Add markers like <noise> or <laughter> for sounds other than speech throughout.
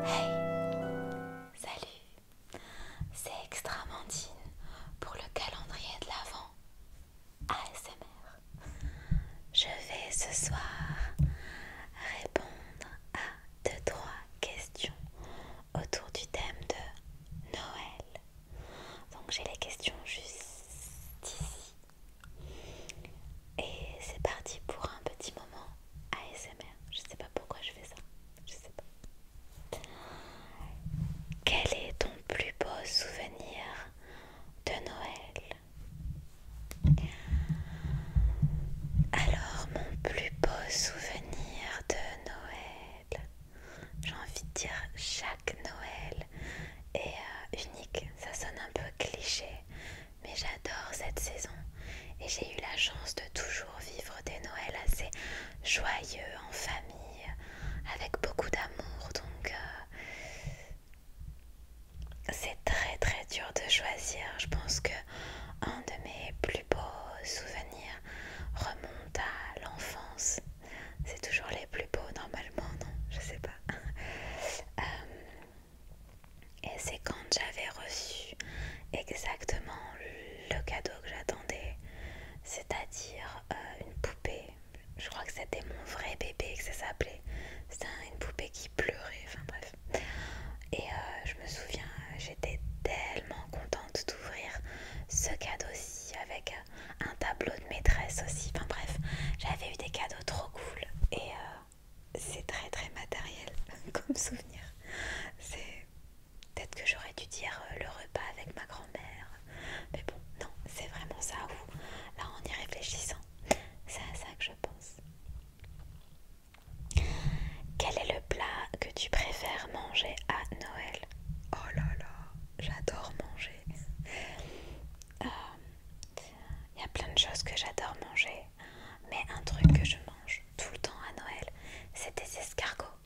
Hey Salut C'est Extramandine pour le calendrier de l'Avent ASMR. Je vais ce soir répondre à deux, trois questions autour du thème de Noël. Donc j'ai les questions juste ici. Et c'est parti pour un petit moment ASMR. Je sais pas pourquoi je fais ça. Je sais pas. Quel est ton plus beau souvenir de Noël alors, mon plus beau souvenir de Noël, j'ai envie de dire chaque Noël est euh, unique. Ça sonne un peu cliché, mais j'adore cette saison et j'ai eu la chance de toujours vivre des Noëls assez joyeux en famille, avec beaucoup d'amour. Donc, euh, c'est très très dur de choisir. Je pense que un de mes plus beaux souvenirs remonte à l'enfance. C'est toujours les plus beaux normalement, non Je sais pas. <laughs> Euh, et c'est quand j'avais reçu exactement le cadeau que j'attendais, c'est-à-dire euh, une poupée je crois que c'était mon vrai bébé que ça s'appelait. C'était une poupée qui pleurait, enfin bref. Et euh, je me souviens, j'étais tellement contente d'ouvrir ce cadeau-ci avec euh, un tableau de maîtresse aussi. Enfin bref, j'avais eu des cadeaux trop cool et euh, c'est très très matériel <laughs> comme souvenir. C'est peut-être que j'aurais dû dire le repas avec ma grand-mère, mais bon, non, c'est vraiment ça où, là en y réfléchissant, c'est à ça que je pense. Quel est le plat que tu préfères manger à Noël Oh là là, j'adore manger. Euh, il y a plein de choses que j'adore manger, mais un truc que je mange tout le temps à Noël, c'est des escargots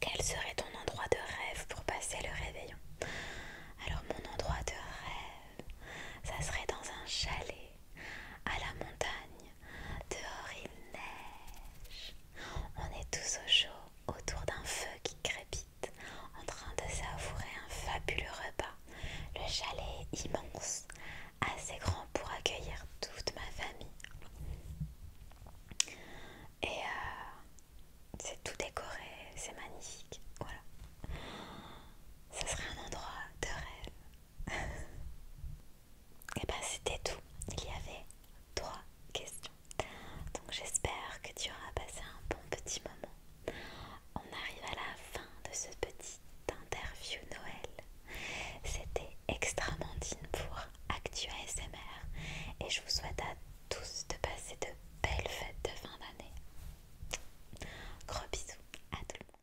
Quel serait ton endroit de rêve pour passer le réveillon Alors mon endroit de rêve, ça serait dans un chalet à la montagne. Dehors il neige. On est tous au chaud autour d'un feu qui crépite en train de savourer un fabuleux repas. Le chalet est immense, assez grand pour accueillir toute ma famille. Et euh, c'est tout décoré, c'est magnifique. Voilà. Ça serait un endroit de rêve. <laughs> Et ben c'était tout. Il y avait trois questions. Donc j'espère que tu auras passé un bon petit moment. On arrive à la fin de ce petit d'interview Noël. C'était Extramandine pour Actu ASMR et je vous souhaite à tous de passer de belles fêtes de fin d'année. Gros bisous à tout le monde.